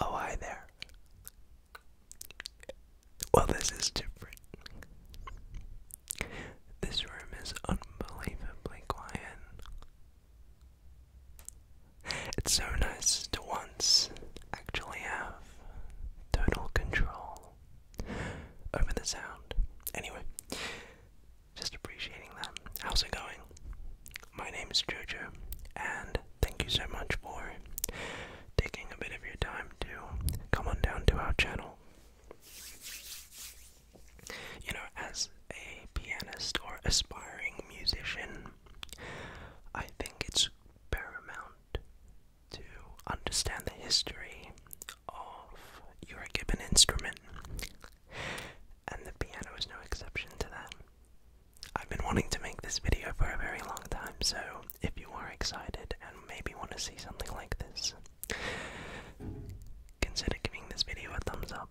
Oh, hi there. Well, this is different. This room is unbelievably quiet. It's so nice to once actually have total control over the sound. Anyway, just appreciating that. How's it going? My name is Jojo, and thank you so much for taking a bit of your time to come on down to our channel. You know, as a pianist or aspiring musician, I think it's paramount to understand the history of your given instrument and the piano is no exception to that. I've been wanting to make this video for a very long time, so if you are excited and maybe want to see something like this, consider giving this video a thumbs up.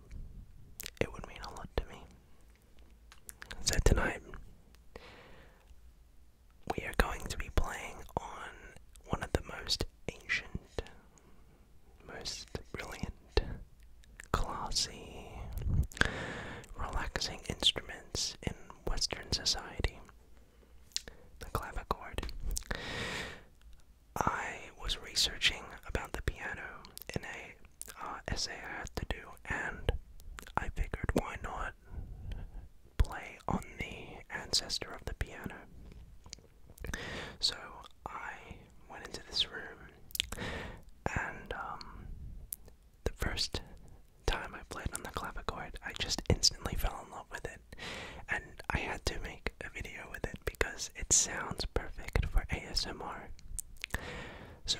It would mean a lot to me. So tonight, we are going to be playing on one of the most ancient most brilliant, classy, relaxing instruments in Western society the clavichord. I was researching about the piano in a uh, essay I had to do, and I figured why not play on the ancestor of the piano. So I went into this room, and um, the first time I played on the clavichord, I just instantly fell in love with it. And I had to make a video with it because it sounds perfect for ASMR. So,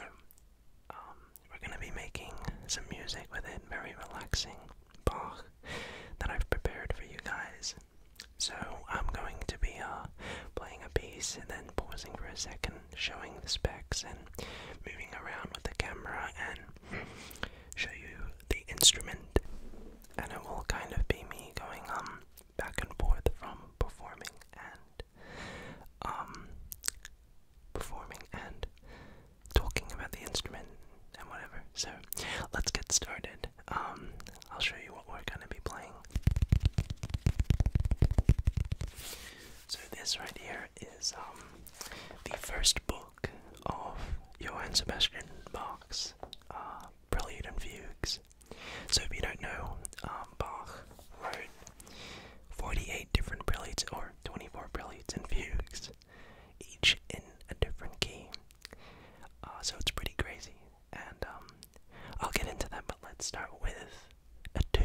um, we're gonna be making some music with it, very relaxing Bach, that I've prepared for you guys. So I'm going to be uh, playing a piece and then pausing for a second, showing the specs and moving around with the camera and show you the instrument. And it will kind of be me going um, back and forth from performing and um, performing and talking about the instrument and whatever. So let's get started um, I'll show you what we're gonna be playing. So this right here is um, the first book of Johann Sebastian Bach's uh, Prelude and Fugues. So if you don't know, um, Bach wrote 48 different preludes or 24 preludes and fugues, each in a different key. Uh, so it's pretty crazy, and um, I'll get into that, but let's start with a tune.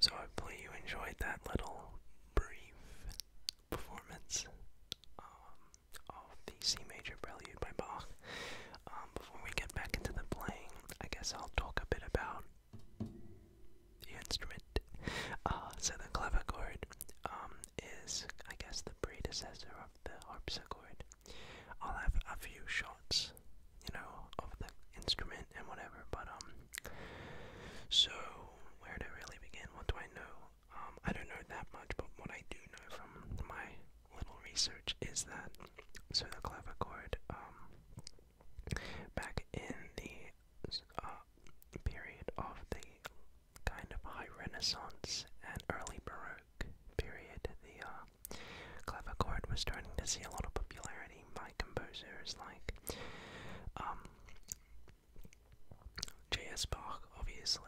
So, hopefully, you enjoyed that little brief performance um, of the C major prelude by Bach. Um, before we get back into the playing, I guess I'll talk a bit about the instrument. Uh, so, the clavichord um, is, I guess, the predecessor of the harpsichord. I'll have a few shots, you know, of the instrument and whatever, but, um, so, where do I really begin? What do I know? Um, I don't know that much, but what I do know from my little research is that, so the clavichord, um, back in the, uh, period of the kind of high Renaissance and early Baroque period, the, uh, guitar. Clavichord was starting to see a lot of popularity by composers like um, J.S. Bach, obviously.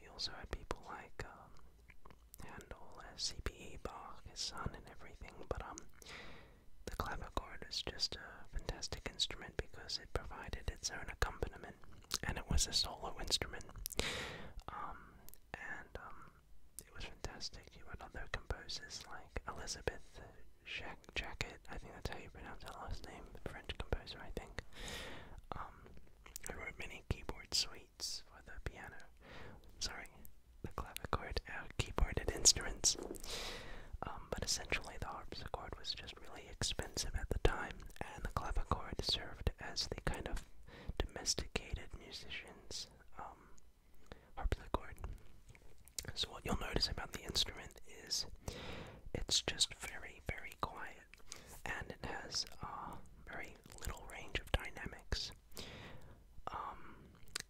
we also had people like um, Handel, C.B.E. Bach, his son, and everything. But um, the clavichord was just a fantastic instrument because it provided its own accompaniment, and it was a solo instrument. Um, it was fantastic. You had other composers like Elizabeth Jacket, I think that's how you pronounce her last name, French composer, I think. Um, who wrote many keyboard suites for the piano. Sorry, the clavichord, uh, keyboarded instruments. Um, but essentially, the harpsichord was just really expensive at the time, and the clavichord served as the kind of domesticated musician's um, harpsichord. So what you'll notice about the instrument is it's just very, very quiet, and it has a uh, very little range of dynamics. Um,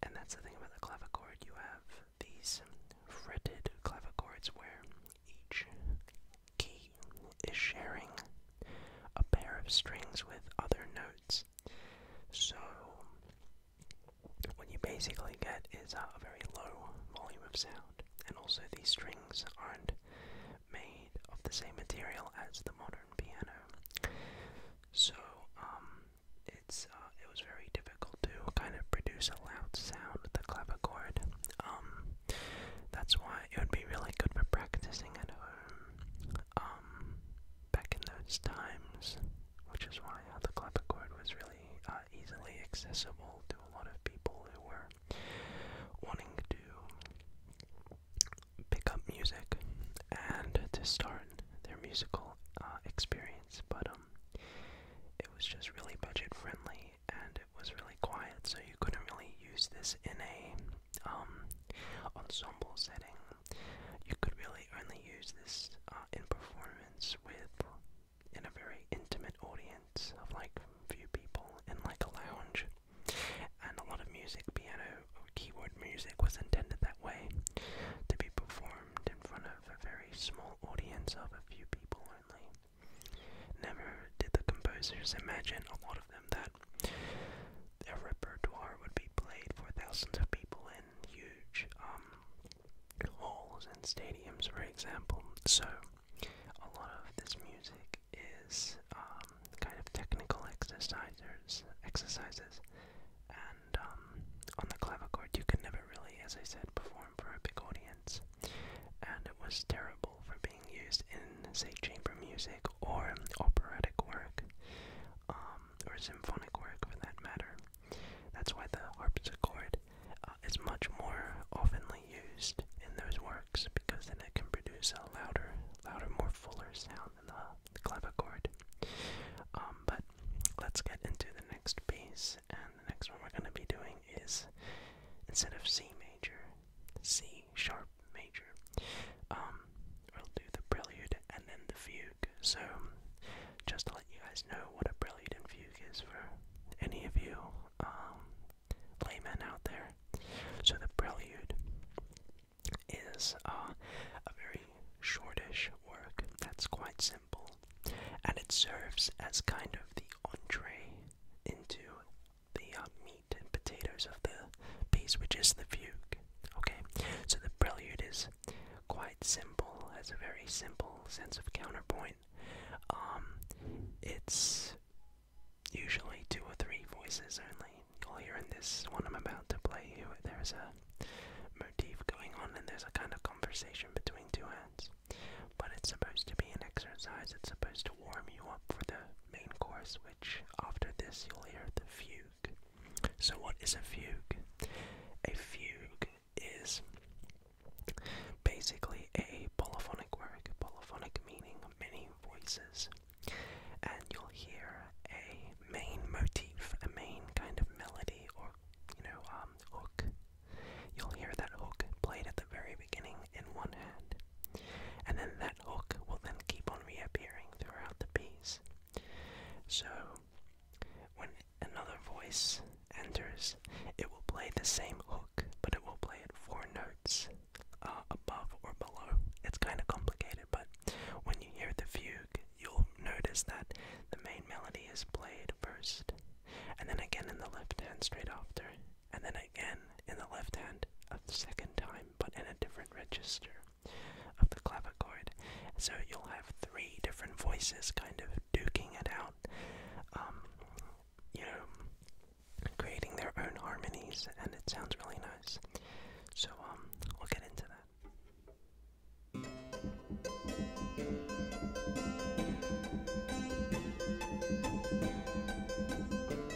and that's the thing about the clavichord. You have these fretted clavichords where each key is sharing a pair of strings with other notes. So, what you basically get is a very low volume of sound, and also the strings aren't made of the same material as the modern piano. So, um, it's uh, it was very difficult to kind of produce a loud sound with the clavichord. Um, that's why it would be really good for practicing at home. Um, back in those times, which is why uh, the clavichord was really uh, easily accessible to a lot of people who were wanting to pick up music and to start their musical uh, experience. But um, it was just really budget friendly and it was really quiet, so you couldn't really use this in a um, ensemble setting you could really only use this uh, in performance with in a very intimate audience of like few people in like a lounge. And a lot of music, piano or keyboard music was intended that way to be performed in front of a very small audience of a few people only. Never did the composers imagine a lot of them that their repertoire would be played for thousands of people in huge um, halls and stadiums, for example. So a lot of this music is um, kind of technical exercises, exercises, and um, on the clavichord you can never really, as I said, perform for a big audience, and it was terrible for being used in, say, chamber music or operatic work, um, or symphonic work for that matter. That's why the harpsichord uh, is much more oftenly used in those works because then it can produce a louder, louder, more fuller sound than the, clavichord. Um, but let's get into the next piece, and the next one we're going to be doing is instead of C major, C sharp major. we'll um, do the prelude and then the fugue. So, just to let you guys know what a prelude and fugue is for any of you um, laymen out there. So, the prelude is uh, a very shortish work that's quite simple, and it serves as kind of the entree into the uh, and potatoes of the piece, which is the fugue. Okay, so the prelude is quite simple, has a very simple sense of counterpoint. Um, it's usually two or three voices only. You'll hear in this one I'm about to play you, there's a motif going on and there's a kind of conversation between two hands. But it's supposed to be an exercise, it's supposed to warm you up for the main course, which after this you'll hear the fugue. So, what is a fugue? A fugue is basically a polyphonic work, polyphonic meaning many voices. And you'll hear a main motif, a main kind of melody or, you know, um, hook. You'll hear that hook played at the very beginning in one hand. And then that hook will then keep on reappearing throughout the piece. So, when another voice enters, it will play the same hook, but it will play it four notes uh, above or below. It's kind of complicated, but when you hear the fugue, you'll notice that the main melody is played first, and then again in the left hand straight after, and then again in the left hand a second time, but in a different register of the clavichord. So you'll have three different voices kind of duking it out, um, you know, creating their own harmonies, and it sounds really nice. So um, we'll get into that.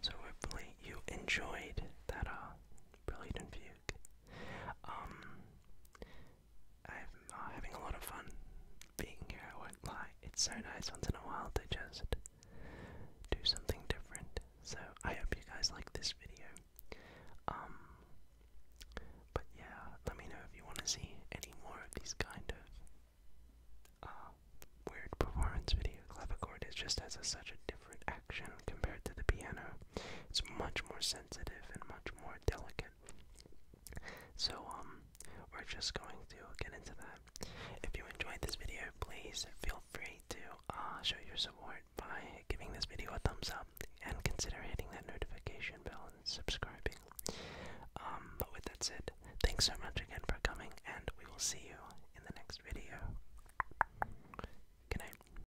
So hopefully you enjoyed that uh, brilliant fugue. Um, I'm oh, having a lot of fun being here, I won't lie. It's so nice once in a while to just do something different. So I hope you guys like this video. Um, but yeah, let me know if you want to see any more of these kind of uh, weird performance video. Clavichord is just has such a different action compared to the piano. It's much more sensitive and much more delicate. So, um, we're just going to get into that. If you enjoyed this video, please feel free to uh, show your support by giving this video a thumbs up and consider hitting that notification bell and subscribing. Um, but with that said, thanks so much again for coming, and we will see you in the next video. Good night.